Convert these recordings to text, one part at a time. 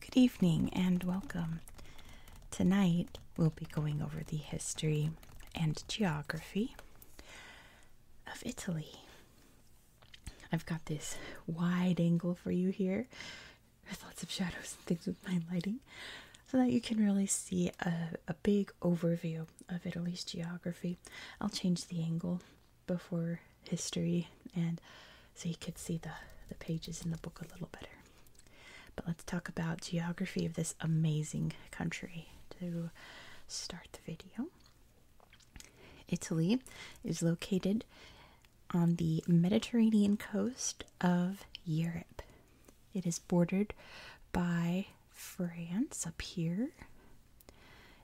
Good evening and welcome. Tonight we'll be going over the history and geography of Italy. I've got this wide angle for you here with lots of shadows and things with my lighting so that you can really see a, a big overview of Italy's geography. I'll change the angle before history and so you could see the, the pages in the book a little better. But let's talk about geography of this amazing country to start the video. Italy is located on the Mediterranean coast of Europe. It is bordered by France up here.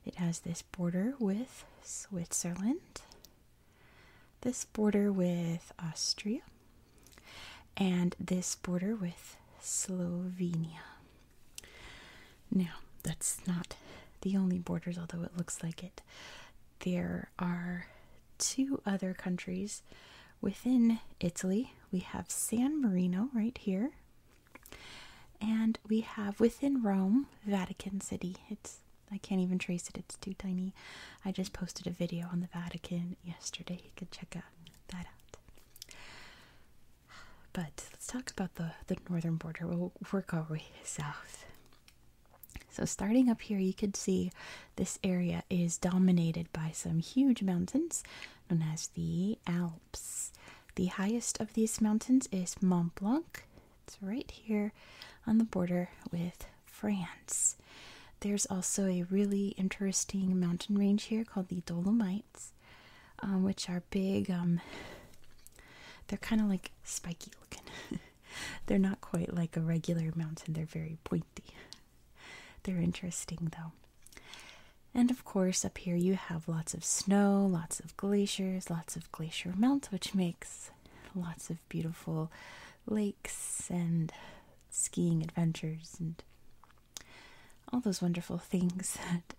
It has this border with Switzerland, this border with Austria, and this border with Slovenia. Now, that's not the only borders, although it looks like it. There are two other countries Within Italy, we have San Marino right here. And we have within Rome, Vatican City. It's I can't even trace it. It's too tiny. I just posted a video on the Vatican yesterday. You could check out that out. But let's talk about the, the northern border. We'll work our way south. So starting up here, you could see this area is dominated by some huge mountains known as the Alps. The highest of these mountains is Mont Blanc. It's right here on the border with France. There's also a really interesting mountain range here called the Dolomites, um, which are big. Um, they're kind of like spiky looking. they're not quite like a regular mountain, they're very pointy. They're interesting though. And of course, up here you have lots of snow, lots of glaciers, lots of glacier melt, which makes lots of beautiful lakes and skiing adventures and all those wonderful things that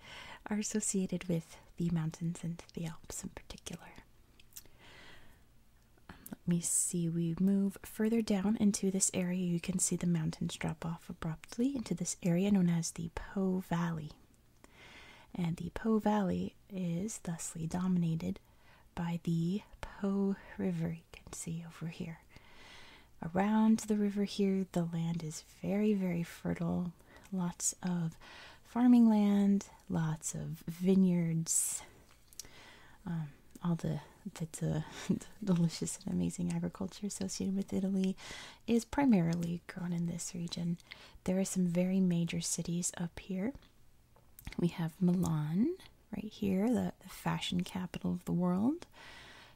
are associated with the mountains and the Alps in particular. Let me see, we move further down into this area. You can see the mountains drop off abruptly into this area known as the Po Valley. And the Po Valley is thusly dominated by the Po River, you can see over here. Around the river here, the land is very, very fertile. Lots of farming land, lots of vineyards, um, all the the, delicious and amazing agriculture associated with Italy is primarily grown in this region. There are some very major cities up here. We have Milan right here, the, fashion capital of the world.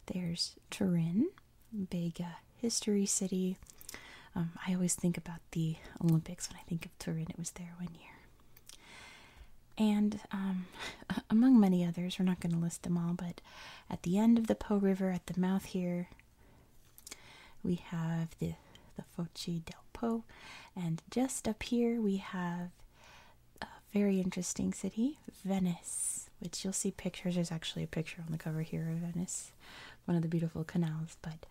There's Turin, big uh, history city. Um, I always think about the Olympics when I think of Turin. It was there one year. And um, among many others, we're not going to list them all, but at the end of the Po River, at the mouth here, we have the, the Foce del Po. And just up here, we have a very interesting city, Venice, which you'll see pictures. There's actually a picture on the cover here of Venice, one of the beautiful canals. But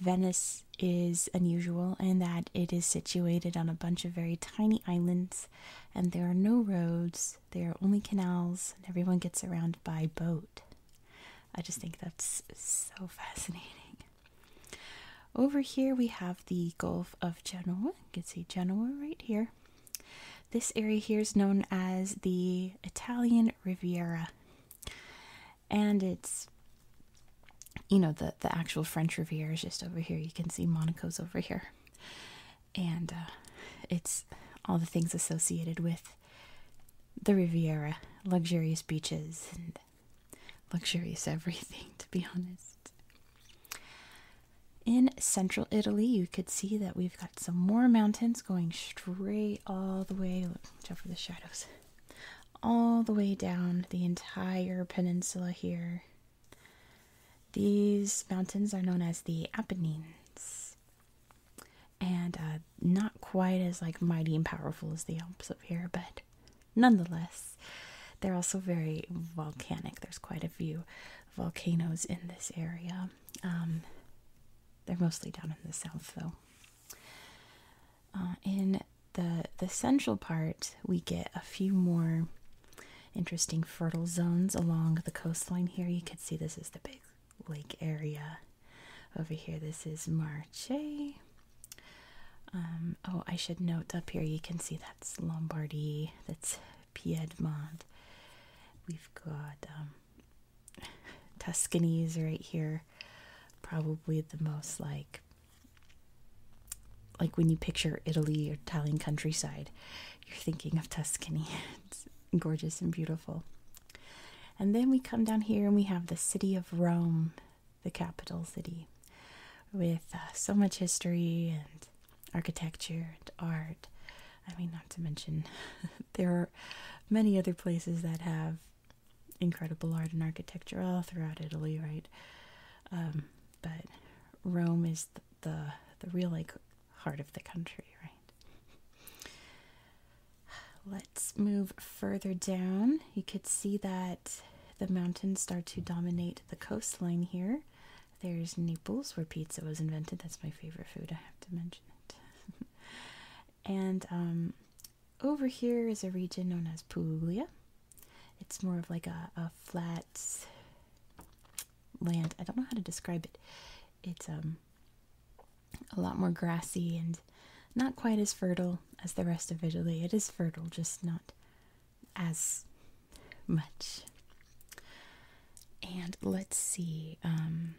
Venice is unusual in that it is situated on a bunch of very tiny islands and there are no roads, there are only canals, and everyone gets around by boat. I just think that's so fascinating. Over here we have the Gulf of Genoa. You can see Genoa right here. This area here is known as the Italian Riviera. And it's, you know, the, the actual French Riviera is just over here. You can see Monaco's over here. And uh, it's all the things associated with the Riviera luxurious beaches and luxurious everything, to be honest. In central Italy, you could see that we've got some more mountains going straight all the way. Look, watch out for the shadows. All the way down the entire peninsula here. These mountains are known as the Apennines, and uh, not quite as like mighty and powerful as the Alps up here, but nonetheless, they're also very volcanic. There's quite a few volcanoes in this area. Um, they're mostly down in the south, though. Uh, in the the central part, we get a few more interesting fertile zones along the coastline here. You can see this is the big lake area. Over here, this is Marche. Um, oh, I should note up here you can see that's Lombardy, that's Piedmont. We've got um, Tuscany's right here, probably the most like like when you picture Italy or Italian countryside, you're thinking of Tuscany. it's gorgeous and beautiful. And then we come down here and we have the city of Rome, the capital city, with uh, so much history and architecture and art. I mean, not to mention, there are many other places that have incredible art and architecture all throughout Italy, right? Um, but Rome is the the real like heart of the country, right? Let's move further down. You could see that the mountains start to dominate the coastline here. There's Naples, where pizza was invented. That's my favorite food. I have to mention it. and um, over here is a region known as Puglia. It's more of like a, a flat that land. I don't know how to describe it. It's um a lot more grassy and not quite as fertile as the rest of Italy. It is fertile, just not as much. And let's see. Um,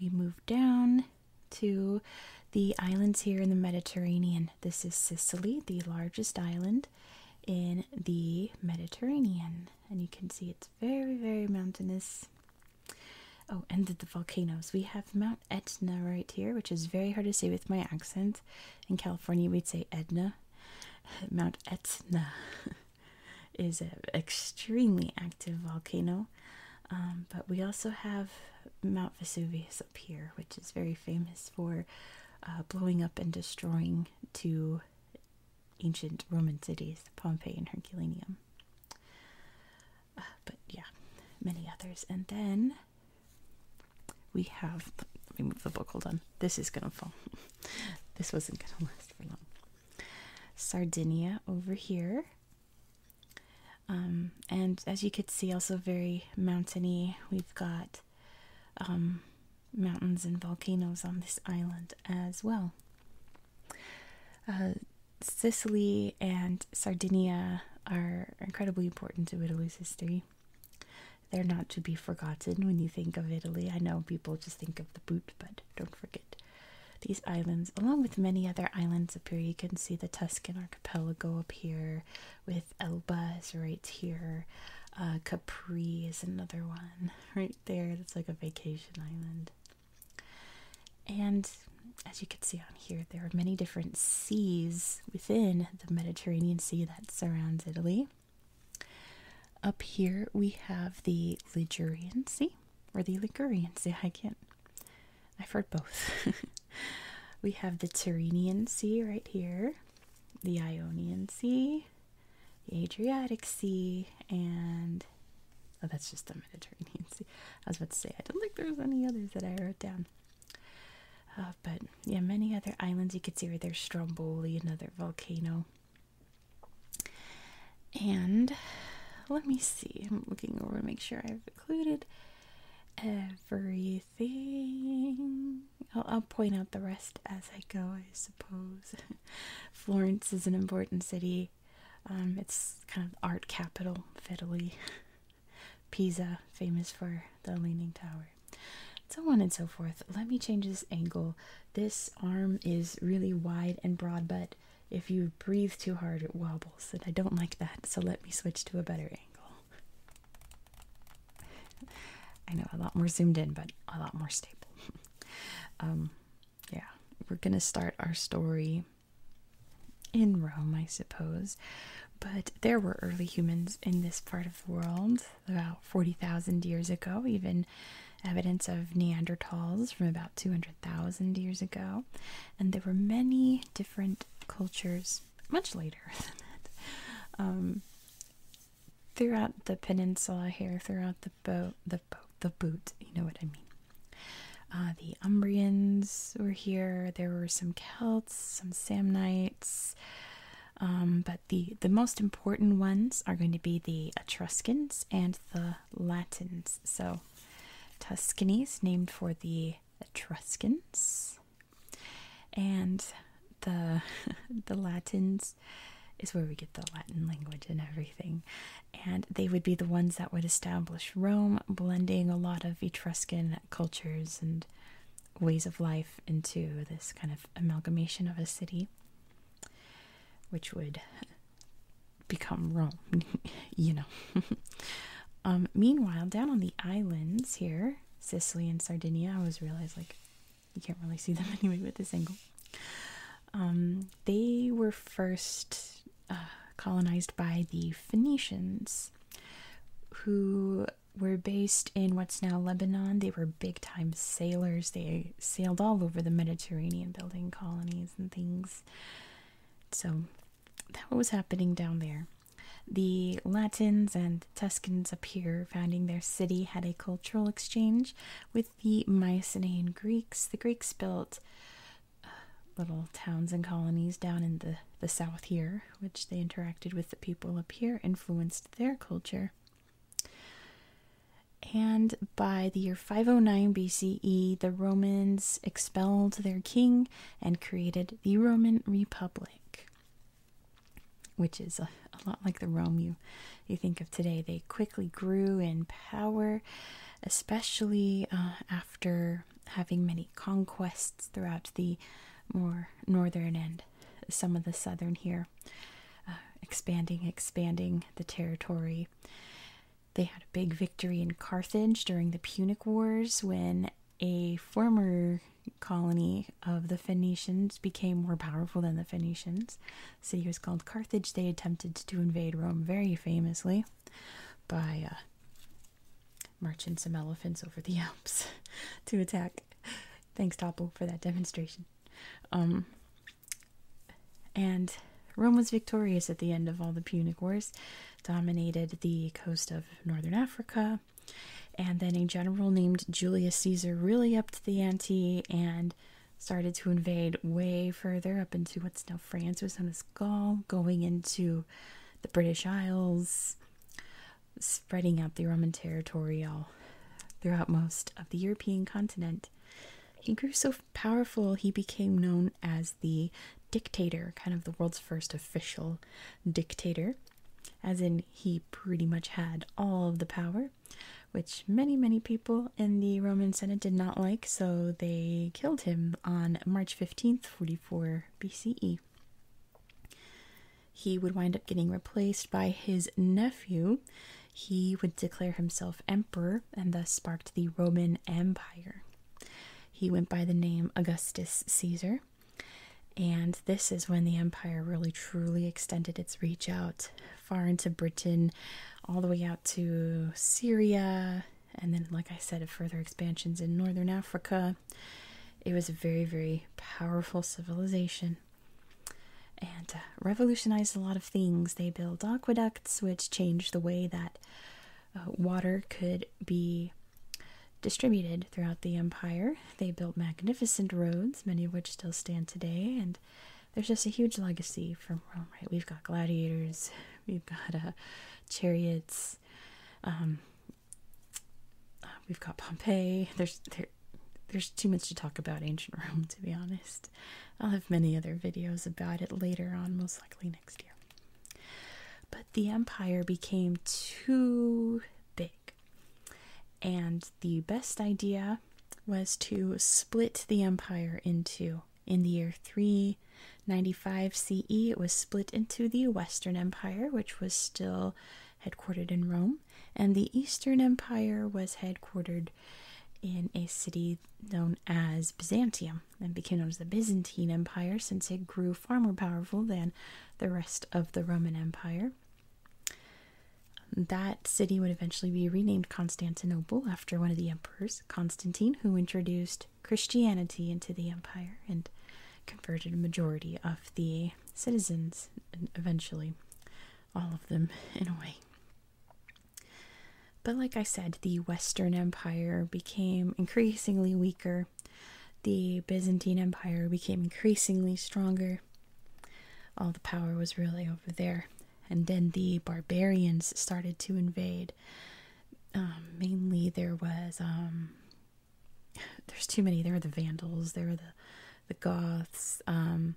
we move down to the islands here in the Mediterranean. This is Sicily, the largest island in the Mediterranean. And you can see it's very, very mountainous. Oh, and the, volcanoes. We have Mount Etna right here, which is very hard to say with my accent. In California, we'd say Edna. Mount Etna is an extremely active volcano. Um, but we also have Mount Vesuvius up here, which is very famous for uh, blowing up and destroying two ancient Roman cities, Pompeii and Herculaneum. Uh, but yeah, many others. And then we have. Let me move the book. Hold on. This is gonna fall. this wasn't gonna last for long. Sardinia over here. Um, and as you could see, also very mountainy. We've got um, mountains and volcanoes on this island as well. Uh, Sicily and Sardinia are incredibly important to Italy's history. They're not to be forgotten when you think of Italy. I know people just think of the boot, but don't forget these islands, along with many other islands up here. You can see the Tuscan archipelago up here, with Elba is right here. Uh, Capri is another one right there. That's like a vacation island. And as you can see on here, there are many different seas within the Mediterranean Sea that surrounds Italy. Up here we have the Ligurian Sea, or the Ligurian Sea. I can't, I've heard both. we have the Tyrrhenian Sea right here, the Ionian Sea, the Adriatic Sea, and oh, that's just the Mediterranean Sea. I was about to say, I don't think there's any others that I wrote down. Uh, but yeah, many other islands you could see right there Stromboli, another volcano. And let me see, I'm looking over to make sure I've included everything. I'll, point out the rest as I go, I suppose. Florence is an important city. Um, it's kind of art capital fiddly. Pisa, famous for the Leaning Tower. So on and so forth. Let me change this angle. This arm is really wide and broad, but if you breathe too hard, it wobbles, and I don't like that. So let me switch to a better angle. I know a lot more zoomed in, but a lot more stable. Um, yeah, we're gonna start our story in Rome, I suppose. But there were early humans in this part of the world about 40,000 years ago, even evidence of Neanderthals from about 200,000 years ago. And there were many different cultures much later than that. Um, throughout the peninsula here, throughout the boat, the boat, the boot, you know what I mean. Uh, the Umbrians were here. There were some Celts, some Samnites, um, but the the most important ones are going to be the Etruscans and the Latins. So, Tuscany named for the Etruscans, and the the Latins is where we get the Latin language and everything. And they would be the ones that would establish Rome, blending a lot of Etruscan cultures and ways of life into this kind of amalgamation of a city, which would become Rome, you know. Um, meanwhile, down on the islands here, Sicily and Sardinia, I always realize like you can't really see them anyway with this angle. Um, they were first uh, colonized by the Phoenicians, who were based in what's now Lebanon. They were big time sailors. They sailed all over the Mediterranean, building colonies and things. So that was happening down there. The Latins and Tuscans up here founding their city had a cultural exchange, with the Mycenaean Greeks. The Greeks built uh, little towns and colonies down in the, the south here, which they interacted with the people up here, influenced their culture. And by the year 509 BCE, the Romans expelled their king and created the Roman Republic, which is a a lot like the Rome you you think of today. They quickly grew in power, especially uh, after having many conquests throughout the more northern and some of the southern here, uh, expanding, expanding the territory. They had a big victory in Carthage during the Punic Wars when a former colony of the Phoenicians became more powerful than the Phoenicians city was called Carthage. They attempted to invade Rome very famously by uh, marching some elephants over the Alps to attack. Thanks, Topple, for that demonstration. Um, and Rome was victorious at the end of all the Punic Wars, dominated the coast of northern Africa, and then a general named Julius Caesar really upped the ante and started to invade way further up into what's now France was Son of Gaul, going into the British Isles, spreading out the Roman territory all throughout most of the European continent. He grew so powerful he became known as the dictator, kind of the world's first official dictator, as in he pretty much had all of the power which many, many people in the Roman Senate did not like, so they killed him on March 15th, 44 BCE. He would wind up getting replaced by his nephew. He would declare himself emperor and thus sparked the Roman Empire. He went by the name Augustus Caesar, and this is when the empire really truly extended its reach out far into Britain, all the way out to Syria, and then, like I said, further expansions in northern Africa. It was a very, very powerful civilization and uh, revolutionized a lot of things. They built aqueducts, which changed the way that uh, water could be distributed throughout the empire. They built magnificent roads, many of which still stand today, and there's just a huge legacy from Rome, right? We've got gladiators, we've got uh, chariots, um, uh, we've got Pompeii. There's there, there's too much to talk about ancient Rome, to be honest. I'll have many other videos about it later on, most likely next year. But the empire became too big, and the best idea was to split the empire into. In the year 395 CE, it was split into the Western Empire, which was still headquartered in Rome, and the Eastern Empire was headquartered in a city known as Byzantium and became known as the Byzantine Empire since it grew far more powerful than the rest of the Roman Empire. That city would eventually be renamed Constantinople after one of the emperors, Constantine, who introduced Christianity into the empire and converted a majority of the citizens, eventually, all of them in a way. But, like I said, the Western Empire became increasingly weaker, the Byzantine Empire became increasingly stronger. All the power was really over there, and then the barbarians started to invade. Um, mainly, there was um, there's too many. There were the Vandals, there were the the Goths. Um,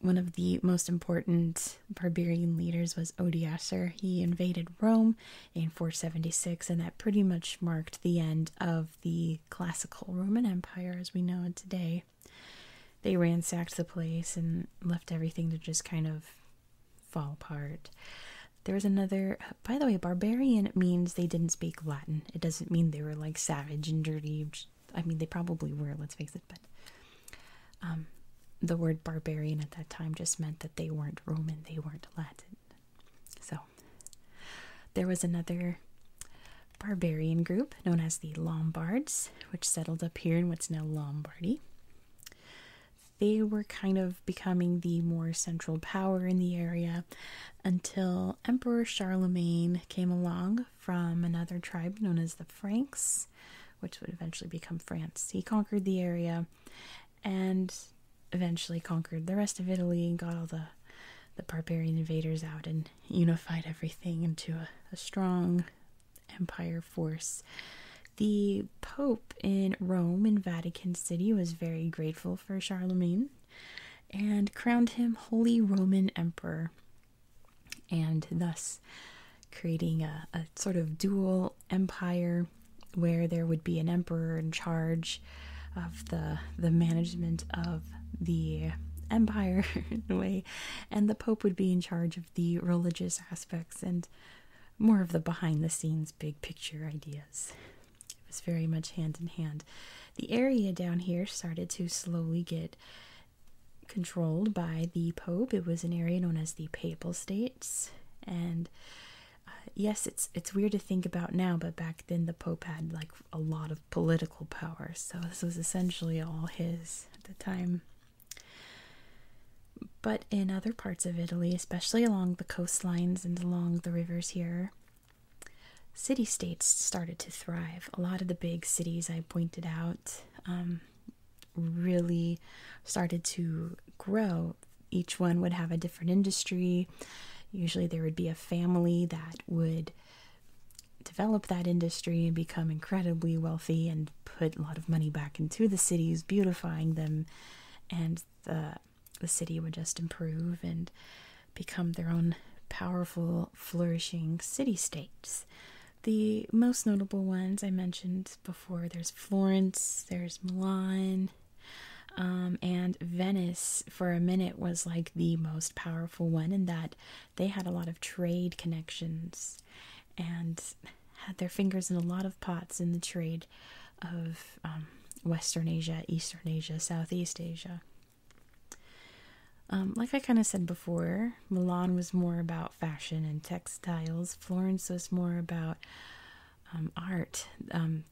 one of the most important barbarian leaders was Odiacer. He invaded Rome in 476, and that pretty much marked the end of the classical Roman Empire as we know it today they ransacked the place and left everything to just kind of fall apart. There was another by the way, barbarian means they didn't speak Latin. It doesn't mean they were like savage and dirty. I mean they probably were, let's face it, but um, the word barbarian at that time just meant that they weren't Roman, they weren't Latin. So there was another barbarian group known as the Lombards which settled up here in what's now Lombardy. They were kind of becoming the more central power in the area until Emperor Charlemagne came along from another tribe known as the Franks, which would eventually become France. He conquered the area and eventually conquered the rest of Italy and got all the the barbarian invaders out and unified everything into a strong empire force. The Pope in Rome in Vatican City was very grateful for Charlemagne and crowned him Holy Roman Emperor, and thus creating a, a sort of dual empire where there would be an emperor in charge of the the management of the empire in a way and the pope would be in charge of the religious aspects and more of the behind the scenes big picture ideas. It was very much hand in hand. The area down here started to slowly get controlled by the Pope. It was an area known as the Papal States. And uh, yes, it's it's weird to think about now, but back then the Pope had like a lot of political power. So this was essentially all his at the time. But in other parts of Italy, especially along the coastlines and along the rivers here, city states started to thrive. A lot of the big cities I pointed out um, really started to grow. Each one would have a different industry. Usually, there would be a family that would develop that industry and become incredibly wealthy and put a lot of money back into the cities, beautifying them, and the the city would just improve and become their own powerful, flourishing city states. The most notable ones I mentioned before there's Florence, there's Milan, um, and Venice for a minute was like the most powerful one, and that they had a lot of trade connections and had their fingers in a lot of pots in the trade of um, Western Asia, Eastern Asia, Southeast Asia. Um, like I kind of said before, Milan was more about fashion and textiles. Florence was more about um, art.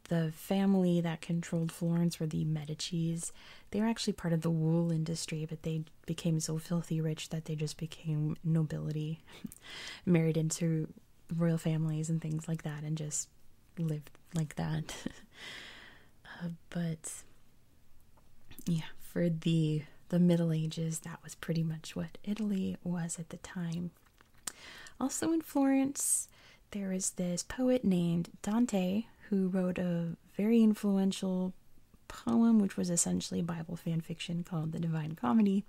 the family that controlled Florence were the Medici's. They were actually part of the wool industry, but they became so filthy rich that they just became nobility, married into royal families and things like that, and just lived like that. Uh, but yeah, for the the Middle Ages, that was pretty much what Italy was at the time. Also in Florence, there is this poet named Dante who wrote a very influential poem, which was essentially Bible fan fiction called The Divine Comedy.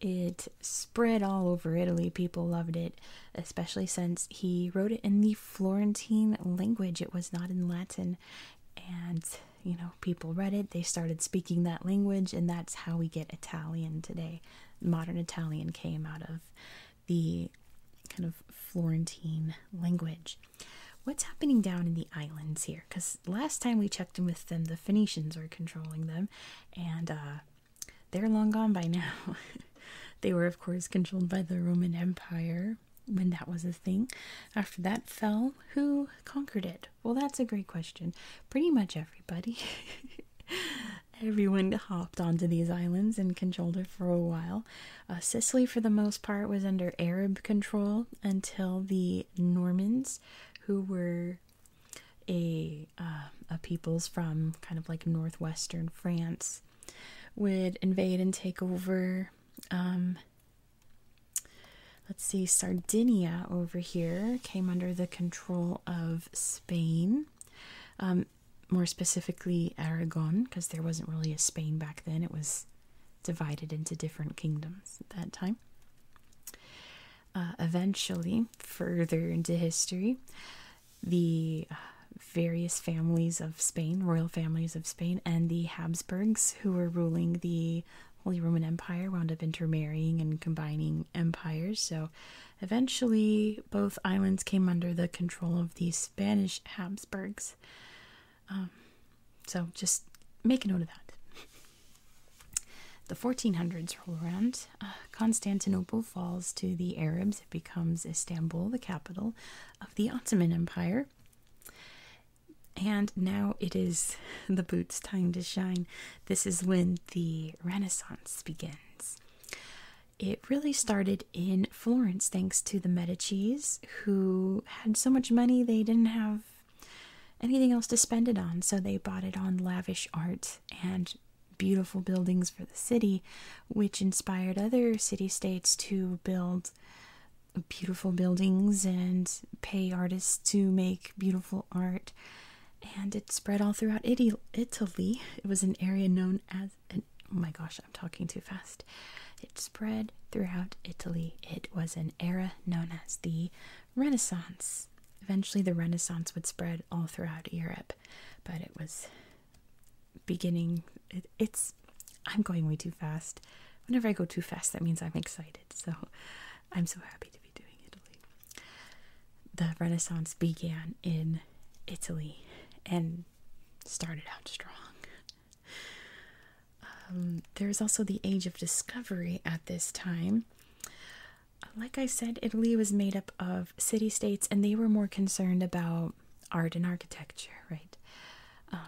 It spread all over Italy. People loved it, especially since he wrote it in the Florentine language. It was not in Latin. And, you know, people read it, they started speaking that language, and that's how we get Italian today. Modern Italian came out of the kind of Florentine language. What's happening down in the islands here? Because last time we checked in with them, the Phoenicians were controlling them, and uh, they're long gone by now. they were, of course, controlled by the Roman Empire when that was a thing. After that fell, who conquered it? Well, that's a great question. Pretty much everybody. Everyone hopped onto these islands and controlled it for a while. Uh, Sicily, for the most part, was under Arab control until the Normans who were a, uh, a peoples from kind of like northwestern France would invade and take over. Um, let's see, Sardinia over here came under the control of Spain. Um, more specifically, Aragon, because there wasn't really a Spain back then. It was divided into different kingdoms at that time. Uh, eventually, further into history, the uh, various families of Spain, royal families of Spain, and the Habsburgs, who were ruling the Holy Roman Empire, wound up intermarrying and combining empires. So eventually, both islands came under the control of the Spanish Habsburgs. Um, so just make a note of that. The 1400s roll around. Uh, Constantinople falls to the Arabs. It becomes Istanbul, the capital of the Ottoman Empire. And now it is the boots' time to shine. This is when the Renaissance begins. It really started in Florence thanks to the Medicis, who had so much money they didn't have anything else to spend it on. So they bought it on lavish art and beautiful buildings for the city, which inspired other city states to build beautiful buildings and pay artists to make beautiful art. And it spread all throughout Italy. It was an area known as Oh my gosh, I'm talking too fast. It spread throughout Italy. It was an era known as the Renaissance. Eventually, the Renaissance would spread all throughout Europe, but it was beginning. it's. I'm going way too fast. Whenever I go too fast, that means I'm excited. So I'm so happy to be doing Italy. The Renaissance began in Italy and started out strong. Um, there's also the Age of Discovery at this time. Like I said, Italy was made up of city states, and they were more concerned about art and architecture, right? Um,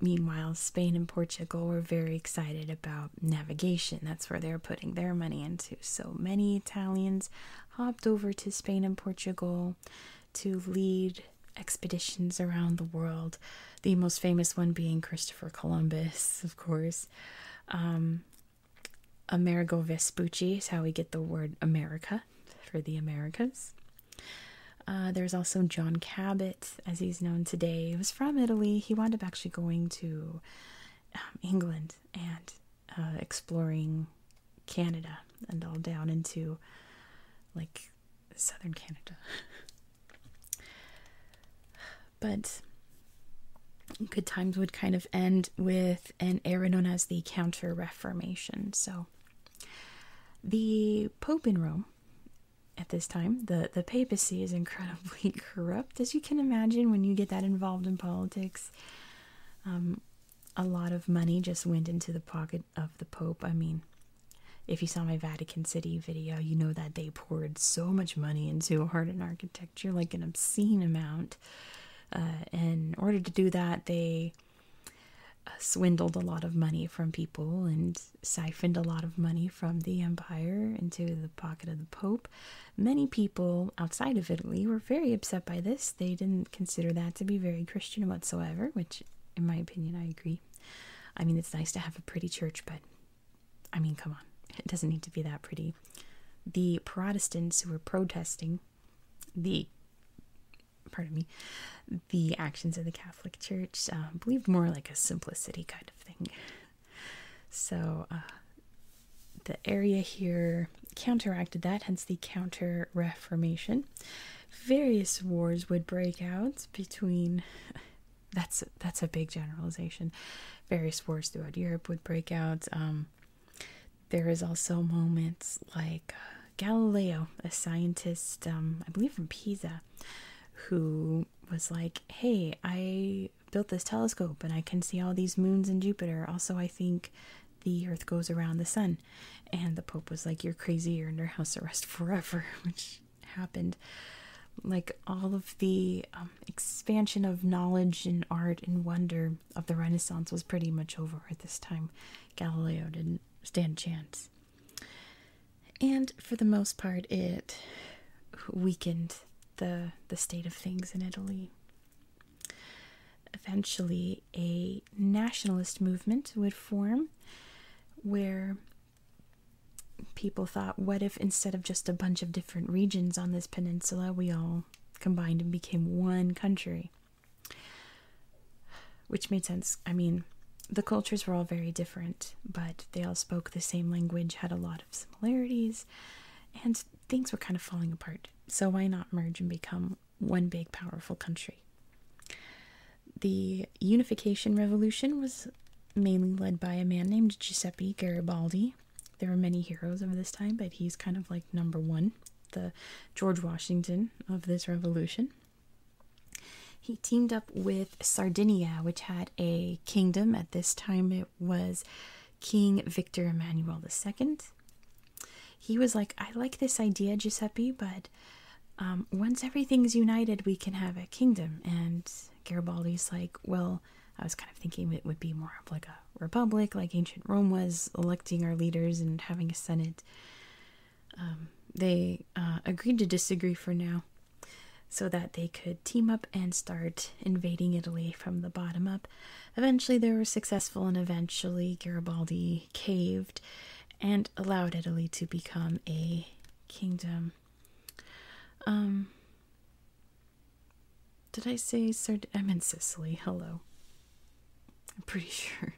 meanwhile, Spain and Portugal were very excited about navigation. That's where they were putting their money into. So many Italians hopped over to Spain and Portugal to lead expeditions around the world the most famous one being Christopher Columbus, of course. Um, Amerigo Vespucci is how we get the word America for the Americas. Uh, there's also John Cabot, as he's known today. He was from Italy. He wound up actually going to um, England and uh, exploring Canada and all down into like southern Canada. But good times would kind of end with an era known as the Counter Reformation. So the Pope in Rome at this time, the, the papacy is incredibly corrupt, as you can imagine when you get that involved in politics. Um, a lot of money just went into the pocket of the Pope. I mean, if you saw my VAT Vatican City video, you know that they poured so much money into art and architecture, like an obscene amount. Uh, in order to do that, they uh, swindled a lot of money from people and siphoned a lot of money from the empire into the pocket of the Pope. Many people outside of Italy were very upset by this. They didn't consider that to be very Christian whatsoever, which, in my opinion, I agree. I mean, it's nice to have a pretty church, but I mean, come on, it doesn't need to be that pretty. The Protestants who were protesting the pardon me the actions of the Catholic Church uh, believed more like a simplicity kind of thing. So uh, the area here counteracted that, hence the Counter Reformation. Various wars would break out between that's that's a big generalization. Various wars throughout Europe would break out. Um, there is also moments like uh, Galileo, a scientist, um, I believe from Pisa, who was like, "Hey, I built this telescope and I can see all these moons and Jupiter. Also, I think." The Earth goes around the sun, and the Pope was like, "You're crazy. You're under house arrest forever," happened like all of the um, expansion of knowledge and art and wonder of the renaissance was pretty much over at this time galileo didn't stand a chance and for the most part it weakened the the state of things in italy eventually a nationalist movement would form where people thought, what if instead of just a bunch of different regions on this peninsula, we all combined and became one country? Which made sense. I mean, the cultures were all very different, but they all spoke the same language, had a lot of similarities, and things were kind of falling apart. So, why not merge and become one big powerful country? The Unification Revolution was mainly led by a man named Giuseppe Garibaldi, there were many heroes of this time, but he's kind of like number one, the George Washington of this revolution. He teamed up with Sardinia, which had a kingdom. At this time, it was King Victor Emmanuel II. He was like, I like this idea, Giuseppe, but um, once everything's united, we can have a kingdom. And Garibaldi's like, well, I was kind of thinking it would be more of like a republic, like ancient Rome was, electing our leaders and having a senate. Um, they uh, agreed to disagree for now so that they could team up and start invading Italy from the bottom up. Eventually, they were successful, and eventually, Garibaldi caved and allowed Italy to become a kingdom. Um, did I say Sard? i Sicily. Hello. I'm pretty sure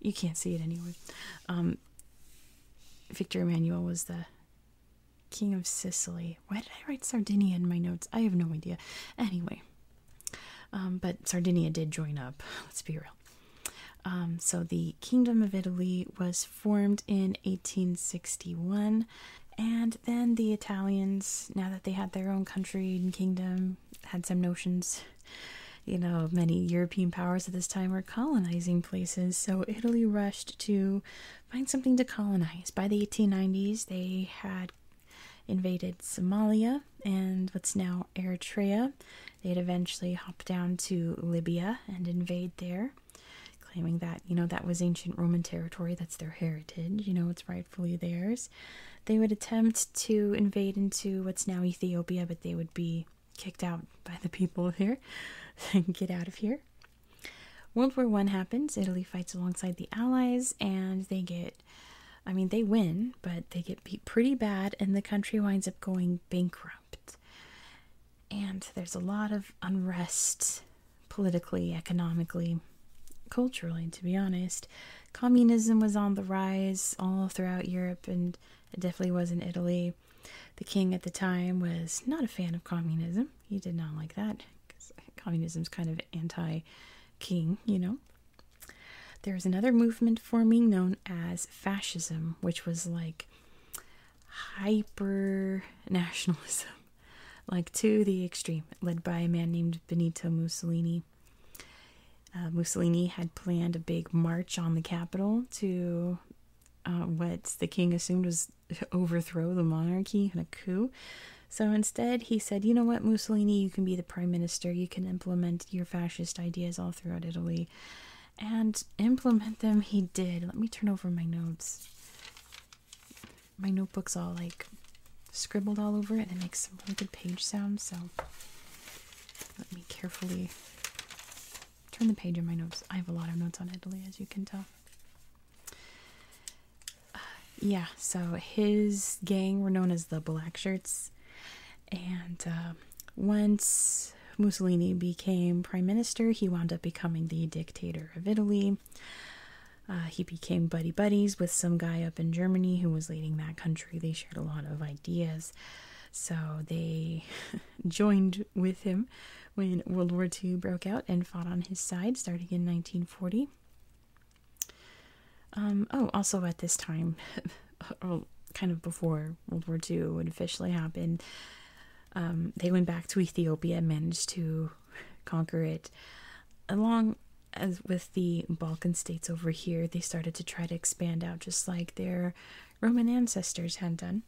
you can't see it anywhere. Um, Victor Emmanuel was the king of Sicily. Why did I write Sardinia in my notes? I have no idea. Anyway, um, but Sardinia did join up. Let's be real. Um, so the Kingdom of Italy was formed in 1861, and then the Italians, now that they had their own country and kingdom, had some notions. You know, many European powers at this time were colonizing places, so Italy rushed to find something to colonize. By the 1890s, they had invaded Somalia and what's now Eritrea. They'd eventually hop down to Libya and invade there claiming that, you know, that was ancient Roman territory, that's their heritage, you know, it's rightfully theirs. They would attempt to invade into what's now Ethiopia, but they would be kicked out by the people here. Get out of here. World War One happens, Italy fights alongside the Allies, and they get I mean, they win, but they get beat pretty bad, and the country winds up going bankrupt. And there's a lot of unrest politically, economically, culturally, to be honest. Communism was on the rise all throughout Europe, and it definitely was in Italy. The king at the time was not a fan of communism. He did not like that Communism is kind of anti king, you know. There was another movement forming known as fascism, which was like hyper nationalism like to the extreme, led by a man named Benito Mussolini. Uh, Mussolini had planned a big march on the capital to uh, what the king assumed was overthrow the monarchy in a coup. So instead, he said, You know what, Mussolini, you can be the prime minister, you can implement your fascist ideas all throughout Italy. And implement them he did. Let me turn over my notes my notebook's all like scribbled all over it and it makes some really good page sounds. So let me carefully turn the page in my notes. I have a lot of notes on Italy, as you can tell. Uh, yeah, so his gang were known as the Black Shirts, and uh, once Mussolini became prime minister, he wound up becoming the dictator of Italy. Uh, he became buddy buddies with some guy up in Germany who was leading that country. They shared a lot of ideas, so they joined with him when World War II broke out and fought on his side, starting in 1940. Um, oh, also at this time, kind of before World War II would officially happen, um, they went back to Ethiopia and managed to conquer it. Along with the Balkan states over here, they started to try to expand out just like their Roman ancestors had done.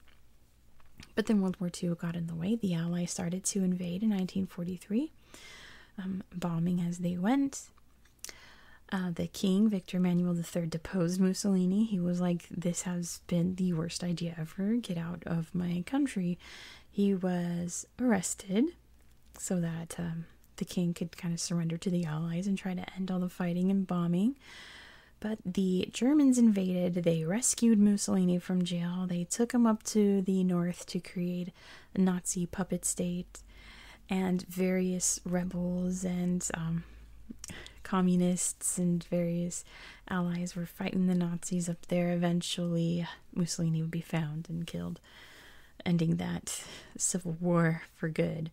But then World War II got in the way. The Allies started to invade in 1943, um, bombing as they went. Uh, the king, Victor Emmanuel III, deposed Mussolini. He was like, This has been the worst idea ever. Get out of my country he was arrested so that um, the king could kind of surrender to the Allies and try to end all the fighting and bombing. But the Germans invaded, they rescued Mussolini from jail, they took him up to the north to create a Nazi puppet state, and various rebels and um, communists and various allies were fighting the Nazis up there, eventually Mussolini would be found and killed, ending that civil war for good.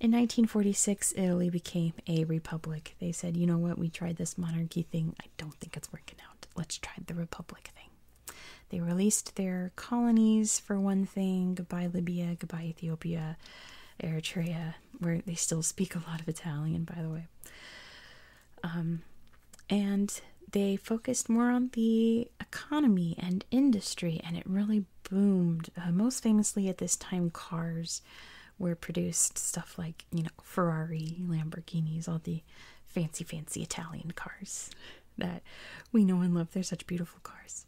In 1946, Italy became a republic. They said, you know what, we tried this monarchy thing. I don't think it's working out. Let's try the republic thing. They released their colonies for one thing. Goodbye, Libya. Goodbye, Ethiopia. Eritrea, where they still speak a lot of Italian, by the way. Um, and they focused more on the economy and industry, and it really boomed. Uh, most famously at this time, cars were produced, stuff like, you know, Ferrari, Lamborghinis, all the fancy, fancy Italian cars that we know and love. They're such beautiful cars.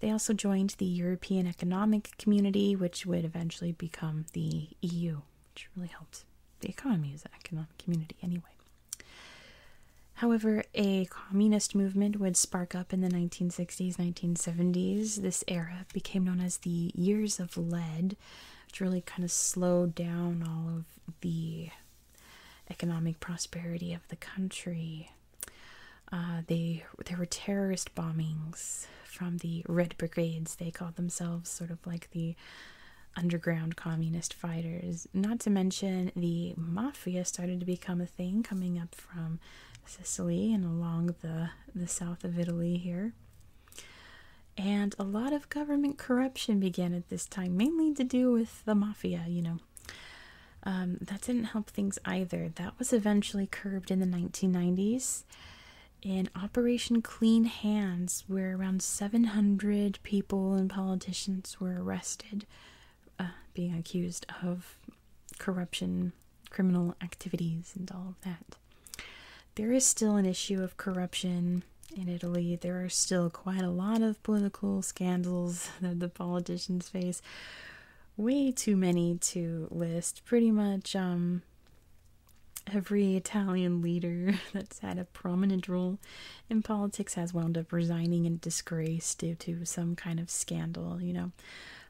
They also joined the European Economic Community, which would eventually become the EU which really helped the economy of the economic community anyway. However, a communist movement would spark up in the 1960s, 1970s. This era became known as the Years of Lead, which really kind of slowed down all of the economic prosperity of the country. Uh, they there were terrorist bombings from the Red Brigades. They called themselves sort of like the underground communist fighters, not to mention the mafia started to become a thing coming up from Sicily and along the, the south of Italy here. And a lot of government corruption began at this time, mainly to do with the mafia, you know. Um, that didn't help things either. That was eventually curbed in the 1990s. In Operation Clean Hands, where around 700 people and politicians were arrested, uh, being accused of corruption, criminal activities, and all of that. There is still an issue of corruption in Italy. There are still quite a lot of political scandals that the politicians face. Way too many to list. Pretty much, um, Every Italian leader that's had a prominent role in politics has wound up resigning in disgrace due to some kind of scandal, you know.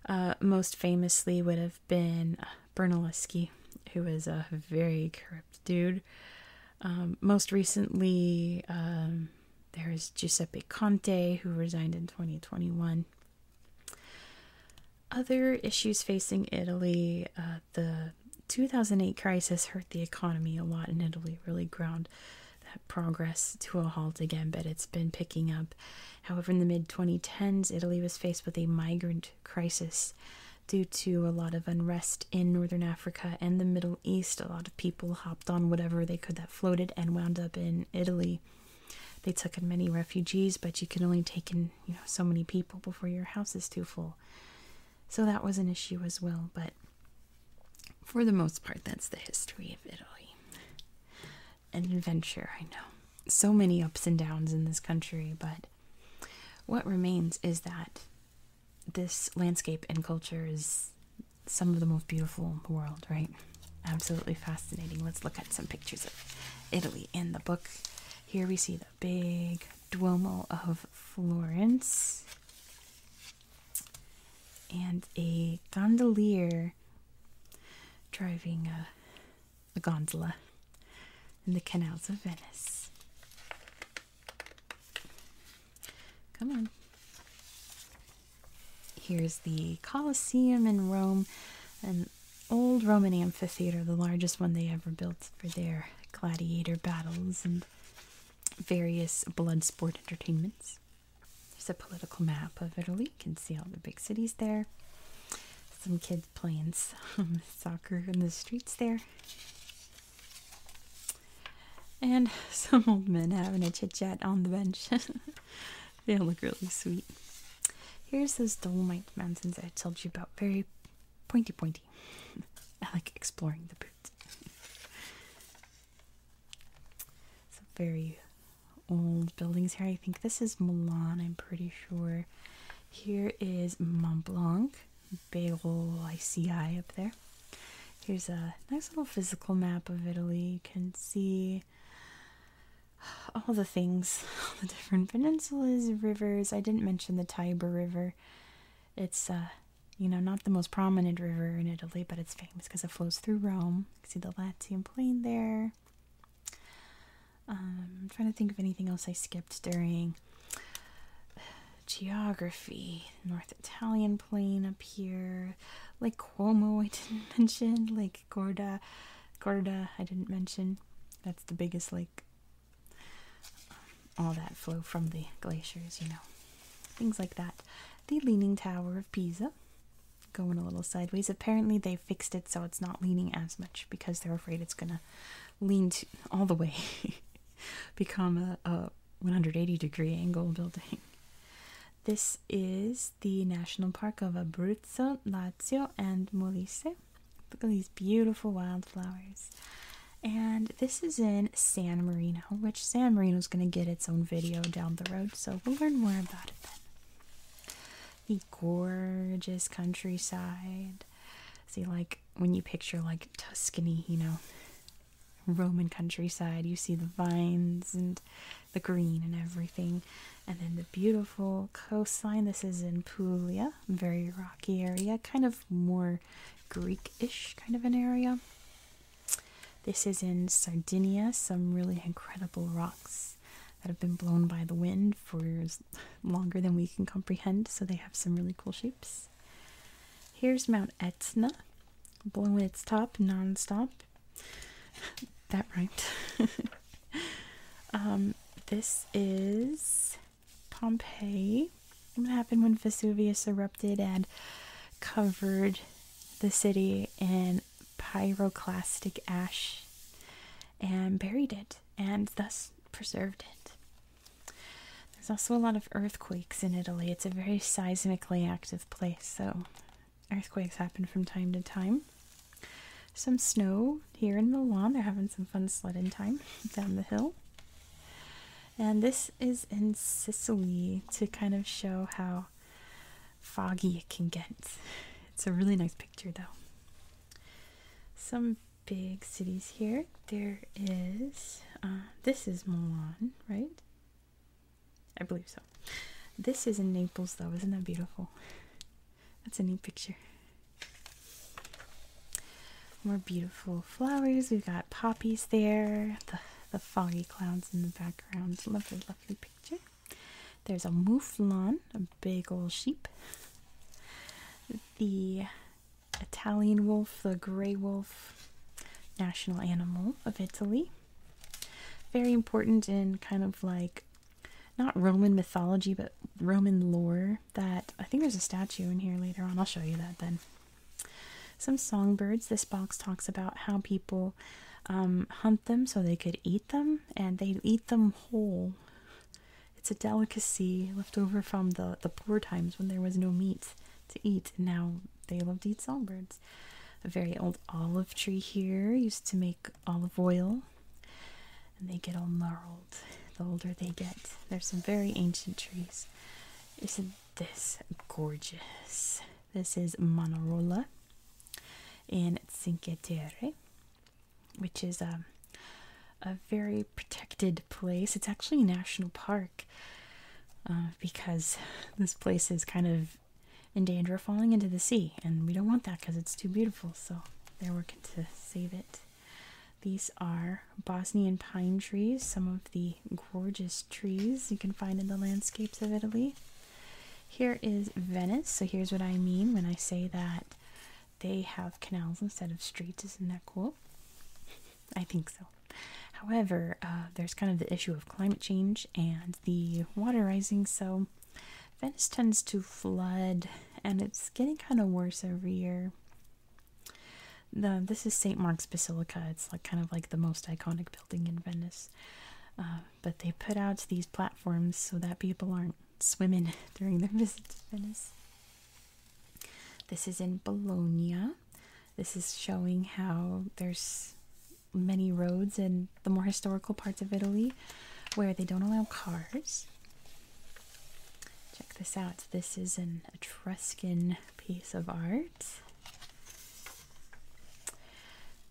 Uh, most famously would have been uh, Brunelleschi, who was a very corrupt dude. Um, most recently, um, there is Giuseppe Conte, who resigned in 2021. Other issues facing Italy, uh, the 2008 crisis hurt the economy a lot in Italy, really ground that progress to a halt again, but it's been picking up. However, in the mid 2010s, Italy was faced with a migrant crisis due to a lot of unrest in northern Africa and the Middle East. A lot of people hopped on whatever they could that floated and wound up in Italy. They took in many refugees, but you can only take in you know so many people before your house is too full. So that was an issue as well, but for the most part, that's the history of Italy. An adventure, I know. So many ups and downs in this country, but what remains is that this landscape and culture is some of the most beautiful in the world, right? Absolutely fascinating. Let's look at some pictures of Italy in the book. Here we see the big Duomo of Florence and a gondolier driving a, gondola in the canals of Venice. Come on. Here's the Colosseum in Rome, an old Roman amphitheater, the largest one they ever built for their gladiator battles and various blood sport entertainments. There's a political map of Italy. You can see all the big cities there. Some kids playing some soccer in the streets there. And some old men having a chit chat on the bench. they all look really sweet. Here's those Dolomite Mountains I told you about. Very pointy pointy. I like exploring the boots. Some very old buildings here. I think this is Milan, I'm pretty sure. Here is Mont Blanc, big ol' ICI up there. Here's a nice little physical map of Italy. You can see all the things, all the different peninsulas, rivers. I didn't mention the Tiber River it's, uh, you know, not the most prominent river in Italy, but it's famous because it flows through Rome. You see the Latium plain there. Um, I'm trying to think of anything else I skipped during geography. North Italian plain up here. Lake Como, I didn't mention. Lake Gorda. Gorda, I didn't mention. That's the biggest lake um, all that flow from the glaciers, you know. Things like that. The Leaning Tower of Pisa. Going a little sideways. Apparently, they fixed it so it's not leaning as much because they're afraid it's going to lean all the way, become a 180 degree angle building. This is the National Park of Abruzzo, Lazio, and Molise. Look at these beautiful wildflowers and this is in San Marino, which San Marino is going to get its own video down the road, so we'll learn more about it then. The gorgeous countryside. See, like when you picture like Tuscany, you know, Roman countryside, you see the vines and the green and everything, and then the beautiful coastline. This is in Puglia, very rocky area, kind of more Greek-ish kind of an area. This is in Sardinia, some really incredible rocks that have been blown by the wind for longer than we can comprehend, so they have some really cool shapes. Here's Mount Etna, blowing its top non-stop. that right. Um, this is Pompeii. What happened when Vesuvius erupted and covered the city in pyroclastic ash and buried it and thus preserved it? There's also a lot of earthquakes in Italy. It's a very seismically active place, so earthquakes happen from time to time. Some snow here in Milan. They're having some fun sledding time down the hill. And this is in Sicily to kind of show how foggy it can get. It's a really nice picture though. Some big cities here. There is, uh, this is Milan, right? I believe so. This is in Naples though. Isn't that beautiful? That's a neat picture. More beautiful flowers. We've got poppies there. The, the foggy clouds in the background. Lovely, lovely picture. There's a mouflon, a big old sheep. The Italian wolf, the gray wolf, national animal of Italy. Very important in kind of like not Roman mythology, but Roman lore. That I think there's a statue in here later on. I'll show you that then. Some songbirds. This box talks about how people um, hunt them so they could eat them, and they eat them whole. It's a delicacy left over from the the poor times when there was no meat to eat, and now they love to eat songbirds. A very old olive tree here used to make olive oil, and they get all gnarled the older they get. There's some very ancient trees. It's a this gorgeous. This is Manarola in Cinque Terre, which is a, um, a very protected place. It's actually a national park uh, because this place is kind of in danger of falling into the sea, and we don't want that because it's too beautiful. So they're working to save it. These are Bosnian pine trees, some of the gorgeous trees you can find in the landscapes of Italy. Here is Venice. So here's what I mean when I say that they have canals instead of streets. Isn't that cool? I think so. However, uh, there's kind of the issue of climate change and the water rising. So Venice tends to flood, and it's getting kind of worse every year this is St. Mark's Basilica. It's like kind of like the most iconic building in Venice. Uh, but they put out these platforms so that people aren't swimming during their visit to Venice. This is in Bologna. This is showing how there's many roads in the more historical parts of Italy where they don't allow cars. Check this out. This is an Etruscan piece of art.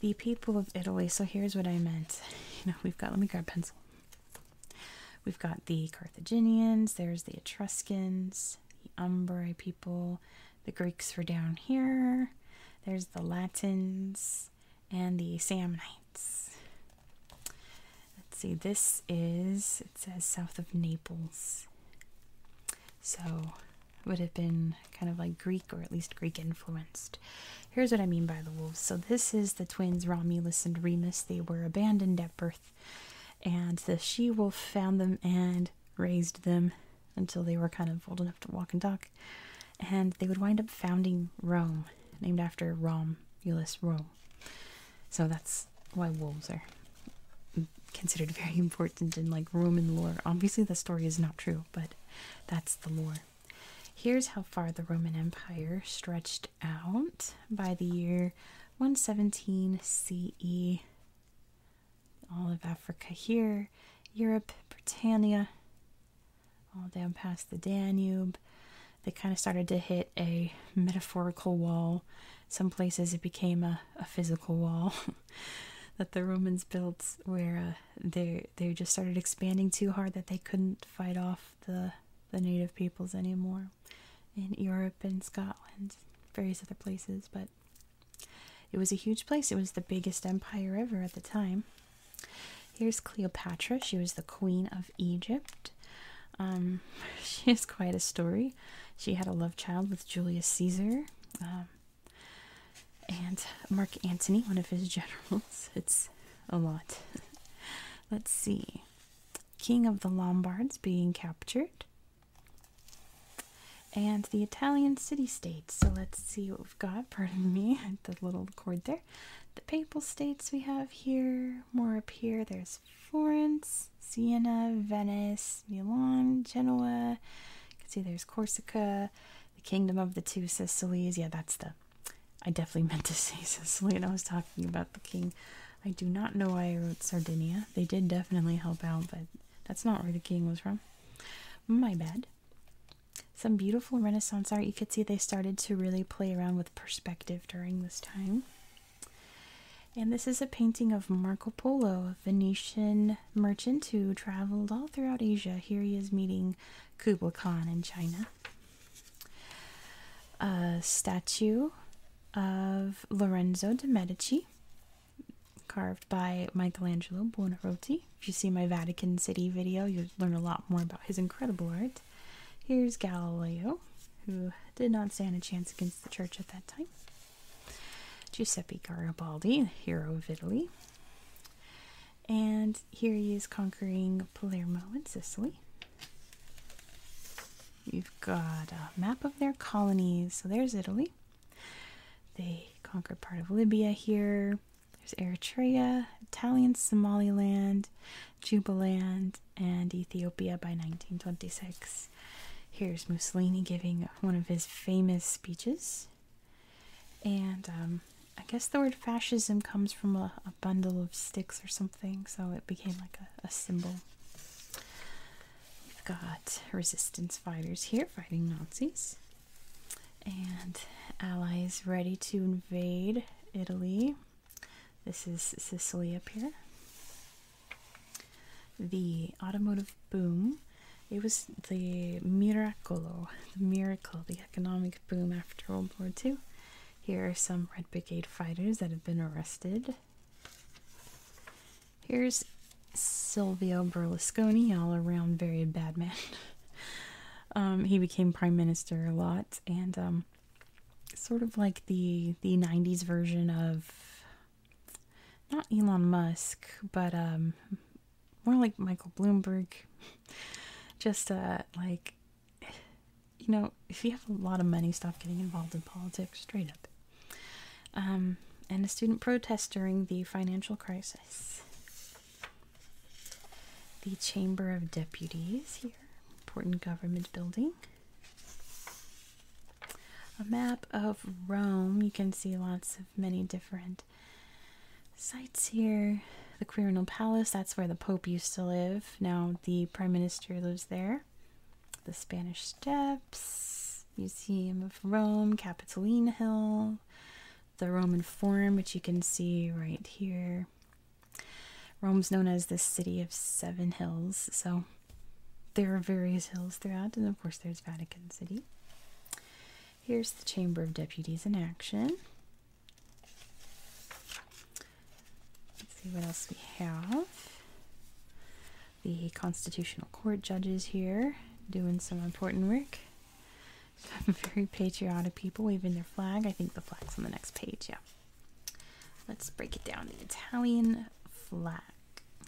The people of Italy. So here's what I meant. You know, we've got, let me grab pencil. We've got the Carthaginians, there's the Etruscans, the Umbrae people, the Greeks were down here, there's the Latins, and the Samnites. Let's see, this is, it says south of Naples. So would have been kind of like Greek or at least Greek influenced. Here's what I mean by the wolves. So this is the twins Romulus and Remus. They were abandoned at birth, and the she-wolf found them and raised them until they were kind of old enough to walk and talk. And they would wind up founding Rome, named after Romulus Rome. So that's why wolves are considered very important in like Roman lore. Obviously, the story is not true, but that's the lore. Here's how far the Roman Empire stretched out by the year 117 CE. All of Africa here, Europe, Britannia, all down past the Danube. They kind of started to hit a metaphorical wall. Some places it became a a, physical wall that the Romans built, where uh, they they just started expanding too hard that they couldn't fight off the the native peoples anymore in Europe and Scotland, various other places. But it was a huge place. It was the biggest empire ever at the time. Here's Cleopatra. She was the queen of Egypt. Um, she has quite a story. She had a love child with Julius Caesar. Um, and Mark Antony, one of his generals. It's a lot. Let's see. King of the Lombards being captured. And the Italian city states. So let's see what we've got. Pardon me, the little cord there. The Papal States we have here. More up here. There's Florence, Siena, Venice, Milan, Genoa, you can see there's Corsica, the Kingdom of the Two Sicilies. Yeah, that's the. I definitely meant to say Sicily, and I was talking about the king. I do not know why I wrote Sardinia. They did definitely help out, but that's not where the king was from. My bad. Some beautiful Renaissance art. You could see they started to really play around with perspective during this time. And this is a painting of Marco Polo, a Venetian merchant who traveled all throughout Asia. Here he is meeting Kublai Khan in China. A statue of Lorenzo de' Medici, carved by Michelangelo Buonarroti. If you see my Vatican City video, you'll learn a lot more about his incredible art. Here's Galileo, who did not stand a chance against the church at that time. Giuseppe Garibaldi, hero of Italy. And here he is conquering Palermo in Sicily. You've got a map of their colonies. So there's Italy. They conquered part of Libya here. There's Eritrea, Italian Somaliland, Jubaland, and Ethiopia by 1926. Here's Mussolini giving one of his famous speeches. And um, I guess the word fascism comes from a, bundle of sticks or something, so it became like a symbol. We've got resistance fighters here fighting Nazis. And allies ready to invade Italy. This is Sicily up here the automotive boom. It was the miracolo, the miracle, the economic boom after World War II. Here are some Red Brigade fighters that have been arrested. Here's Silvio Berlusconi, all around very bad man. Um, he became prime minister a lot, and um, sort of like the the '90s version of not Elon Musk, but um, more like Michael Bloomberg. Just uh, like, you know, if you have a lot of money, stop getting involved in politics straight up. Um, and a student protest during the financial crisis. The Chamber of Deputies here, important government building. A map of Rome. You can see lots of many different different sites here. The Quirinal Palace, that's where the Pope used to live. Now the Prime Minister lives there. The Spanish Steps, Museum of Rome, Capitoline Hill, the Roman Forum, which you can see right here. Rome's known as the City of Seven Hills, so there are various hills throughout, and of course, there's Vatican City. Here's the Chamber of Deputies in action. Let's see what else we have. The Constitutional Court judges here doing some important work. Some very patriotic people waving their flag. I think the flag's on the next page, yeah. Let's break it down. The Italian flag.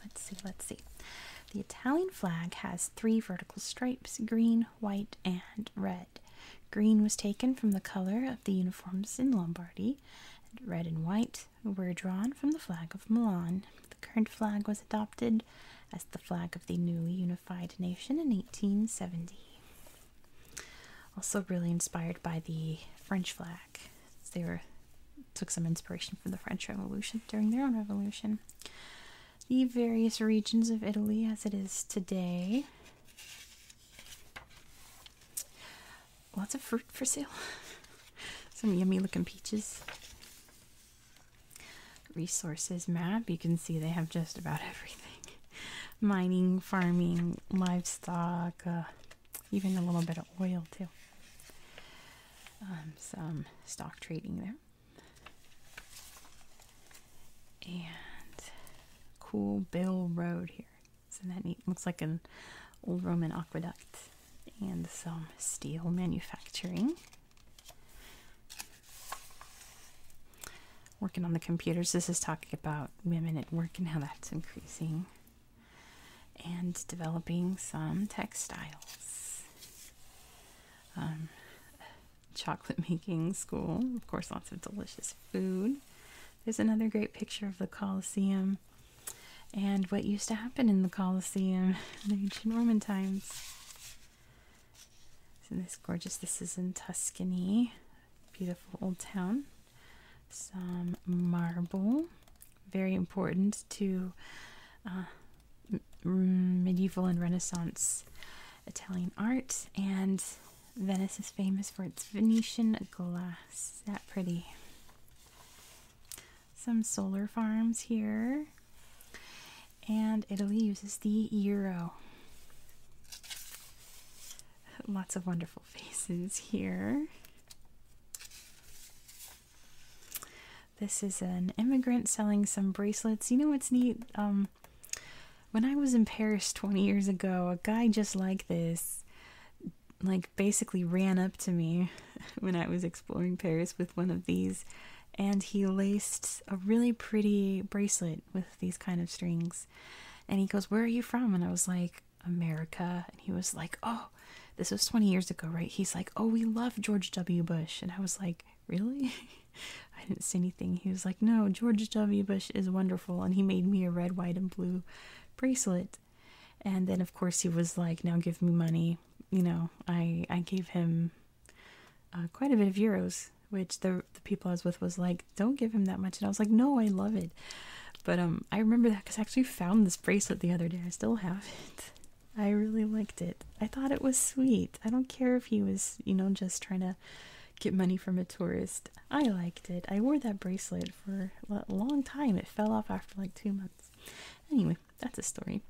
Let's see, let's see. The Italian flag has three vertical stripes green, white, and red. Green was taken from the color of the uniforms in Lombardy, red and white were drawn from the flag of Milan. The current flag was adopted as the flag of the newly unified nation in 1870. Also, really inspired by the French flag. They took some inspiration from the French Revolution during their own revolution the various regions of Italy as it is today. Lots of fruit for sale. Some yummy looking peaches. Resources map. You can see they have just about everything mining, farming, livestock, uh, even a little bit of oil, too. Um, some stock trading there. And cool Bill Road here. Isn't that neat? Looks like an old Roman aqueduct and some steel manufacturing. Working on the computers. This is talking about women at work and how that's increasing. And developing some textiles. Um, chocolate making school. Of course, lots of delicious food. There's another great picture of the Colosseum and what used to happen in the Colosseum in ancient Roman times. Isn't this gorgeous? This is in Tuscany. Beautiful old town. Some marble. Very important to uh, medieval and Renaissance Italian art, and Venice is famous for its Venetian glass. That pretty. Some solar farms here, and Italy uses the euro. Lots of wonderful faces here. This is an immigrant selling some bracelets. You know what's neat? Um, when I was in Paris 20 years ago, a guy just like this, like, basically ran up to me when I was exploring Paris with one of these, and he laced a really pretty bracelet with these kind of strings. And he goes, Where are you from? And I was like, America. And he was like, Oh, this was 20 years ago, right? He's like, Oh, we love George W. Bush. And I was like, really? I didn't say anything. He was like, no, George W. Bush is wonderful. And he made me a red, white, and blue bracelet. And then, of course, he was like, now give me money. You know, I, I gave him uh, quite a bit of euros, which the, the people I was with was like, don't give him that much. And I was like, no, I love it. But um, I remember that because I actually found this bracelet the other day. I still have it. I really liked it. I thought it was sweet. I don't care if he was, you know, just trying to get money from a tourist. I liked it. I wore that bracelet for a long time. It fell off after like two months. Anyway, that's a story.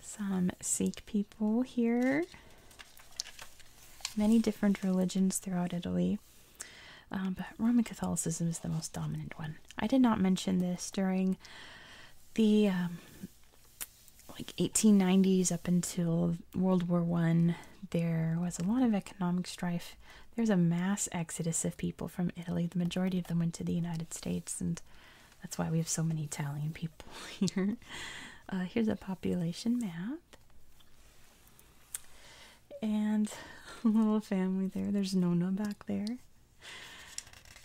Some Sikh people here. Many different religions throughout Italy. Um, but Roman Catholicism is the most dominant one. I did not mention this during the um, like 1890s up until World War One, there was a lot of economic strife. There's a mass exodus of people from Italy. The majority of them went to the United States, and that's why we have so many Italian people here. Uh, here's a population map. And a little family there. There's Nona back there.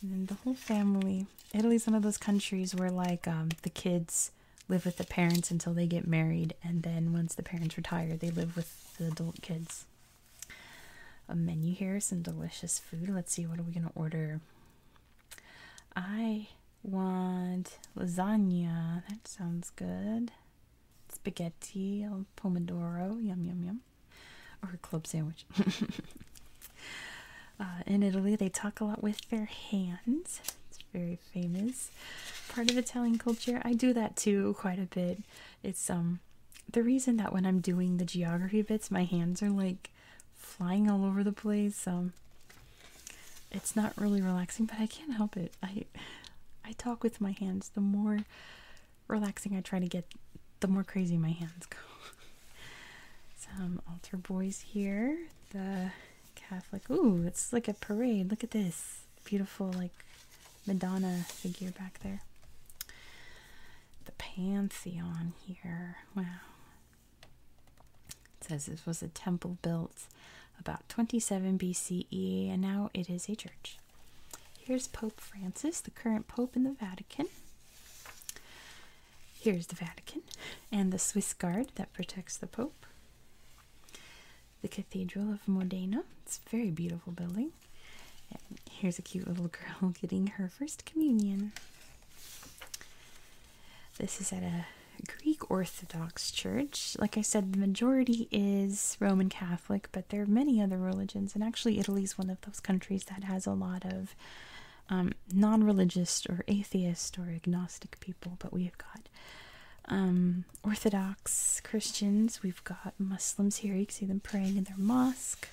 And the whole family Italy's one of those countries where like um, the kids live with the parents until they get married, and then once the parents retire, they live with the adult kids. A menu here, some delicious food. Let's see, what are we gonna order? I want lasagna. That sounds good. Spaghetti, pomodoro, yum yum yum, or a club sandwich. Uh, in Italy, they talk a lot with their hands. It's very famous part of Italian culture. I do that too quite a bit. It's um the reason that when I'm doing the geography bits, my hands are like flying all over the place. Um, it's not really relaxing, but I can't help it. I I talk with my hands. The more relaxing I try to get, the more crazy my hands go. Some altar boys here. The Catholic. Oh, it's like a parade. Look at this beautiful, like Madonna figure back there. The Pantheon here. Wow. says this was a temple built about 27 BCE, and now it is a church. Here's Pope Francis, the current Pope in the Vatican. Here's the Vatican and the Swiss Guard that protects the Pope. The Cathedral of Modena. It's a very beautiful building. And here's a cute little girl getting her first communion. This is at a Greek Orthodox church. Like I said, the majority is Roman Catholic, but there are many other religions, and actually, Italy is one of those countries that has a lot of um, non-religious or atheist or agnostic people, but we've got um, Orthodox Christians. We've got Muslims here. You can see them praying in their mosque.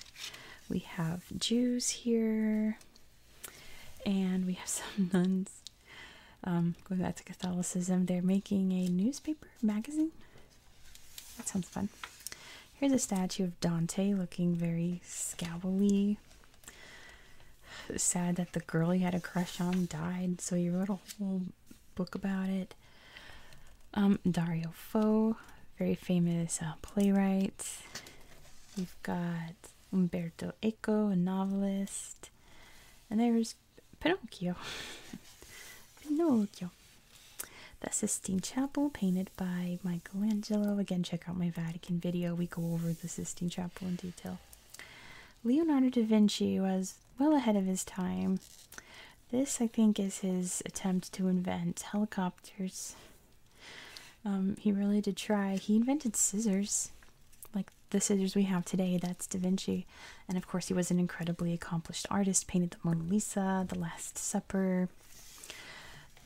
We have Jews here, and we have some nuns. Um, going back to Catholicism, they're making a newspaper magazine. That sounds fun. Here's a statue of Dante looking very scowly sad that the girl he had a crush on died, so he wrote a whole book about it. Um, Dario Fo, very famous uh, playwright. We've got Umberto Eco, a novelist. And there's Pinocchio. Pinocchio. The Sistine Chapel, painted by my Michelangelo. Again, check out my Vatican video. We go over the Sistine Chapel in detail. Leonardo da Vinci was well ahead of his time. This, I think, is his attempt to invent helicopters. Um, he really did try. He invented scissors, like the scissors we have today. That's Da Vinci. And of course, he was an incredibly accomplished artist, painted the Mona Lisa, the Last Supper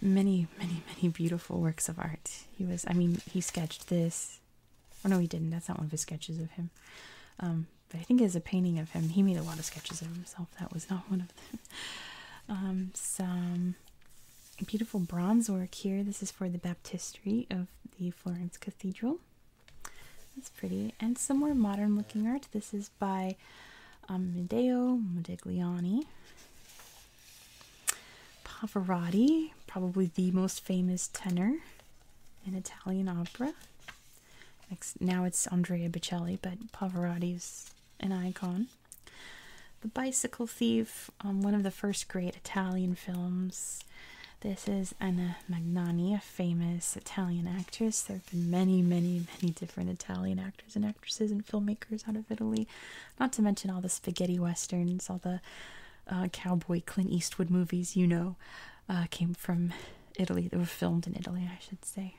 many, many, many beautiful works of art. He was, I mean, he sketched this. Oh, no, he didn't. That's not one of his sketches of him. Um, but I think it's a painting of him. He made a lot of sketches of himself. That was not one of them. Um, some beautiful bronze work here. This is for the baptistry of the Florence Cathedral. That's pretty. And some more modern looking art. This is by um, Medeo Modigliani. Pavarotti, probably the most famous tenor in Italian opera. Now it's Andrea Bocelli, but Pavarotti's an icon. The Bicycle Thief, um, one of the first great Italian films. This is Anna Magnani, a famous Italian actress. There have been many, many, many different Italian actors and actresses and filmmakers out of Italy. Not to mention all the spaghetti westerns, all the uh, cowboy Clint Eastwood movies, you know, uh, came from Italy. They were filmed in Italy, I should say.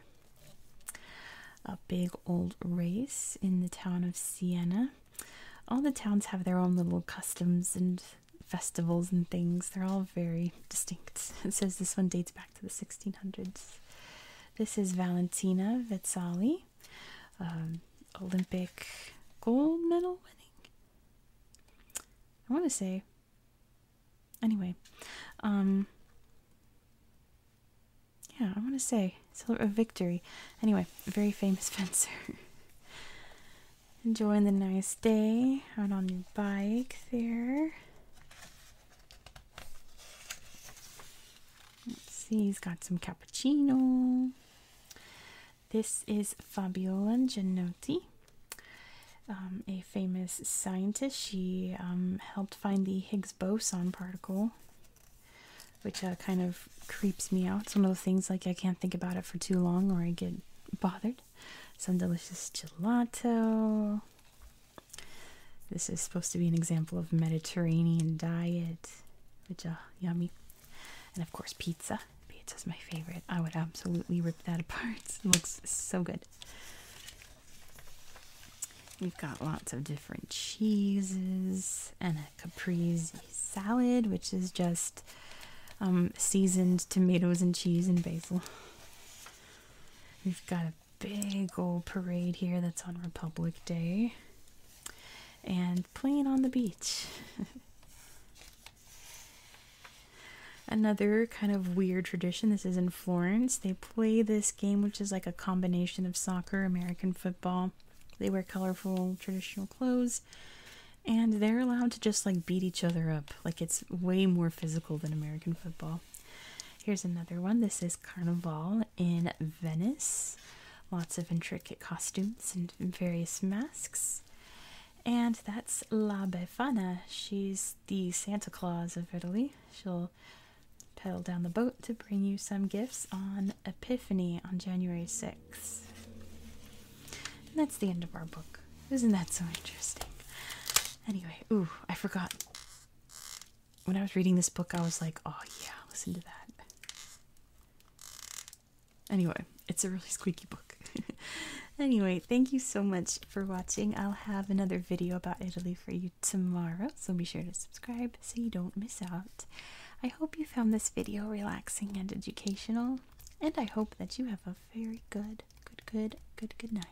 A big old race in the town of Siena. All the towns have their own little customs and festivals and things. They're all very distinct. It says this one dates back to the 1600s. This is Valentina Vezzali. Um, Olympic gold medal winning. I want to say. Anyway, um, yeah, I want to say celebrate a victory. Anyway, very famous fencer. Enjoying the nice day out on your bike there. Let's see, he's got some cappuccino. This is Fabiola Gianotti, um, a famous scientist. She um, helped find the Higgs boson particle, which uh, kind of creeps me out. It's one of the things like I can't think about it for too long or I get bothered. Some delicious gelato. This is supposed to be an example of Mediterranean diet, which uh, yummy. And of course, pizza. Pizza's my favorite. I would absolutely rip that apart. It looks so good. We've got lots of different cheeses and a caprese salad, which is just um, seasoned tomatoes and cheese and basil. We've got a big old parade here that's on Republic Day and playing on the beach. Another kind of weird tradition, this is in Florence. They play this game, which is like a combination of soccer, American football. They wear colorful traditional clothes and they're allowed to just like beat each other up. Like it's way more physical than American football. Here's another one. This is Carnival in Venice lots of intricate costumes and various masks. And that's La Befana. She's the Santa Claus of Italy. She'll pedal down the boat to bring you some gifts on Epiphany on January 6th. And that's the end of our book. Isn't that so interesting? Anyway, ooh, I forgot. When I was reading this book, I was like, oh yeah, listen to that. Anyway, it's a really squeaky book. anyway, thank you so much for watching. I'll have another video about Italy for you tomorrow, so be sure to subscribe so you don't miss out. I hope you found this video relaxing and educational, and I hope that you have a very good, good, good, good, good night.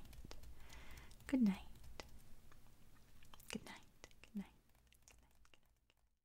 Good night. Good night. Good night. Good night.